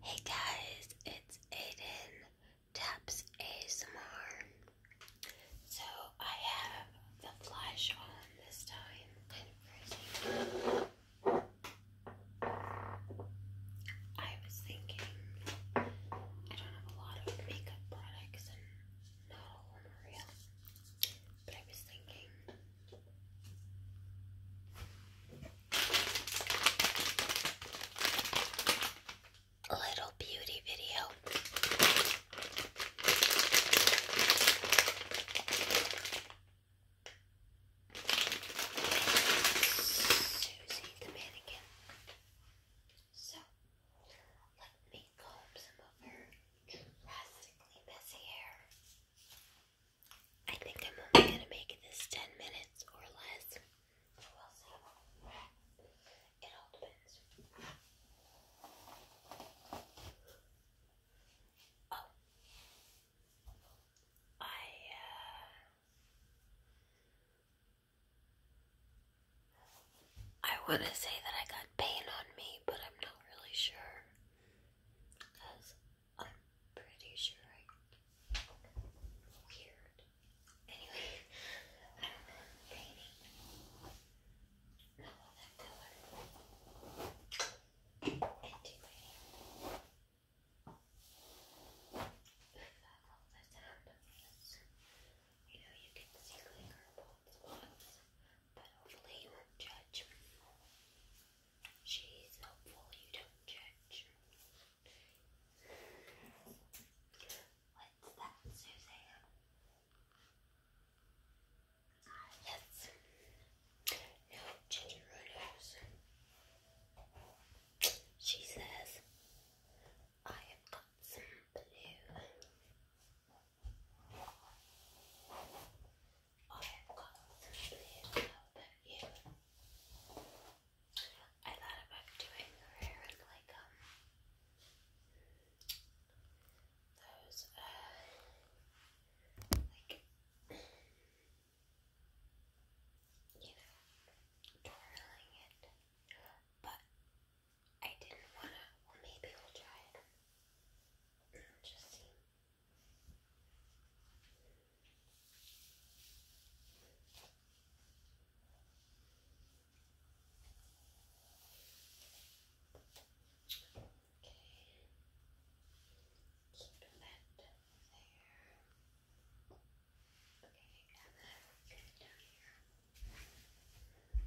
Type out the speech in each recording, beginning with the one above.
Hey guys, it's Aiden Taps ASMR. So I have the flash on this time. I was thinking I don't have a lot of makeup products and not all real. But I was thinking little beauty video. Susie the mannequin. So let me comb some of her drastically messy hair. I think I'm only gonna make this 10 minutes or less. It all depends. Oh. I, uh, I want to say that I got pain on me, but I'm not really sure. I'm pretty sure I. Weird. Anyway, i painting. I want that color into my If I hold this hand you know, you can see like our but hopefully you won't judge. She's hopeful you don't judge. What's that, Suzanne? Ah, yes. No ginger runners. She says, I have got some blue. I have got something about you. I thought about doing her hair in like um those uh like you know twirling it, but I didn't wanna. Well, maybe we'll try it. Interesting. Okay. Keep that there. Okay, and then we down here and you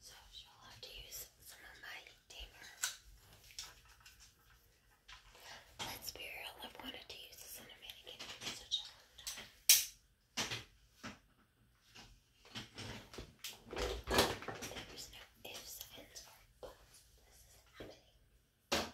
So you'll have to use some of my tamer. Let's be real, I've wanted to use this on a mannequin for such a long time. There's no ifs, ands, or buts. This is happening. Let's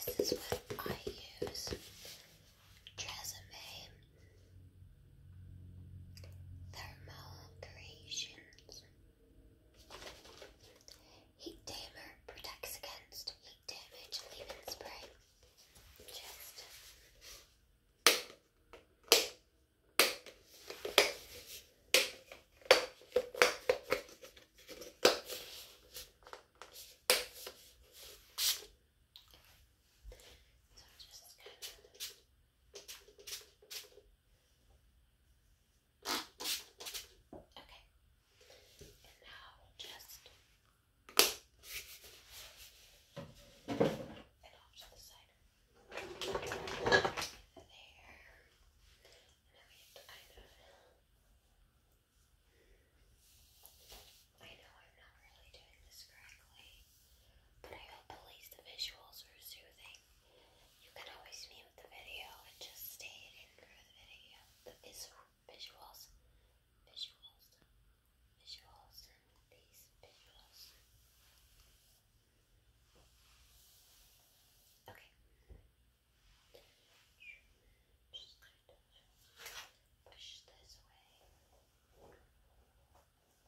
So this is what I use. Tresemme Thermal Creations. Heat Tamer protects against heat damage, leave in spray. so just kind of Okay. And now just and off to the side. There. And now we have to kind of I know I'm not really doing this correctly, but I hope at least the visuals are soothing. You can always mute the video and just stay in for the video. The visual, visuals, visuals, visuals, these visuals. Okay. Just kind of push this away.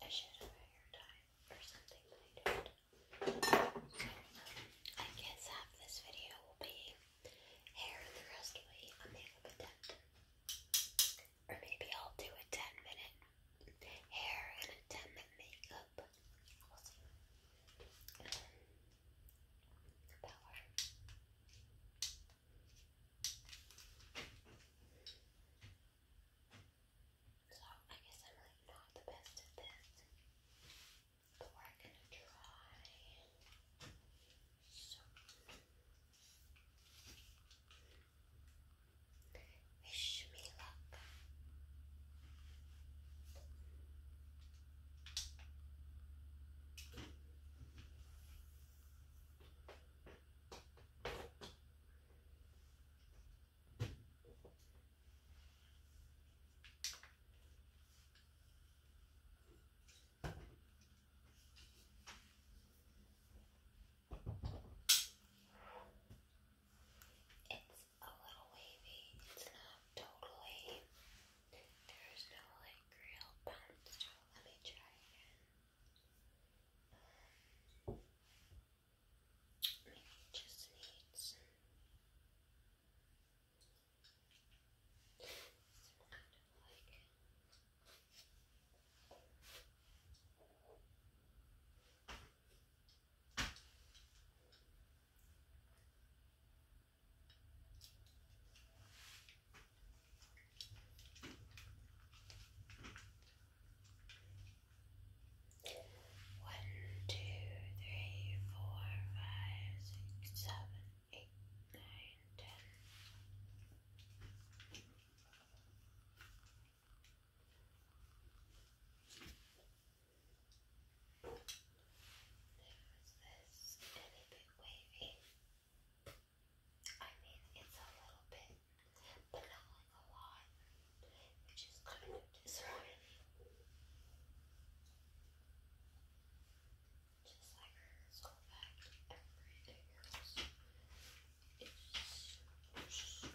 I should have your time or something I do I guess half this video will be hair and the rest will be makeup attempt. Or maybe I'll do a 10 minute hair and a 10 minute makeup. We'll so I guess I'm like not the best at this. But we're gonna try. wish me luck. It's a little wavy, it's not totally, there's no like real bounce to it. Let me try again. I just need some, kind of like one, two, three, four, five, six, seven, eight, nine, ten. There's this, and bit wavy. I mean, it's a little bit, but not like a lot, which is kind of disappointing. Just like hers, go back everything else. It's just.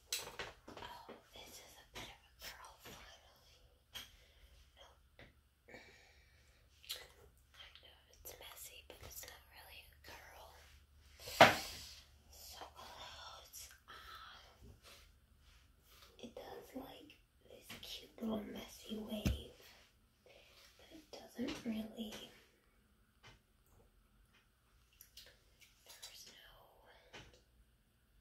Oh, this is a bit of a curl finally. I know it's messy, but it's not really a curl. So close. Uh, um, it does like this cute little messy wave, but it doesn't really. There's no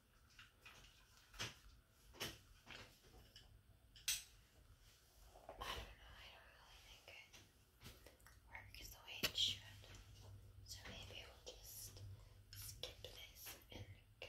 I don't know, I don't really think it works the way it should. So maybe we'll just skip this and go.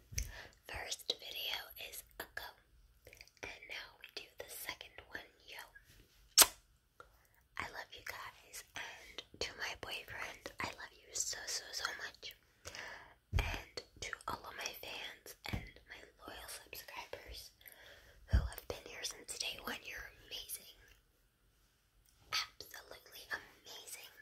First video is a go. And now we do the second one, yo. I love you guys. And to my boyfriend, I love you so, so, so much. And to all of my fans and my loyal subscribers who have been here since day one, you're amazing. Absolutely amazing.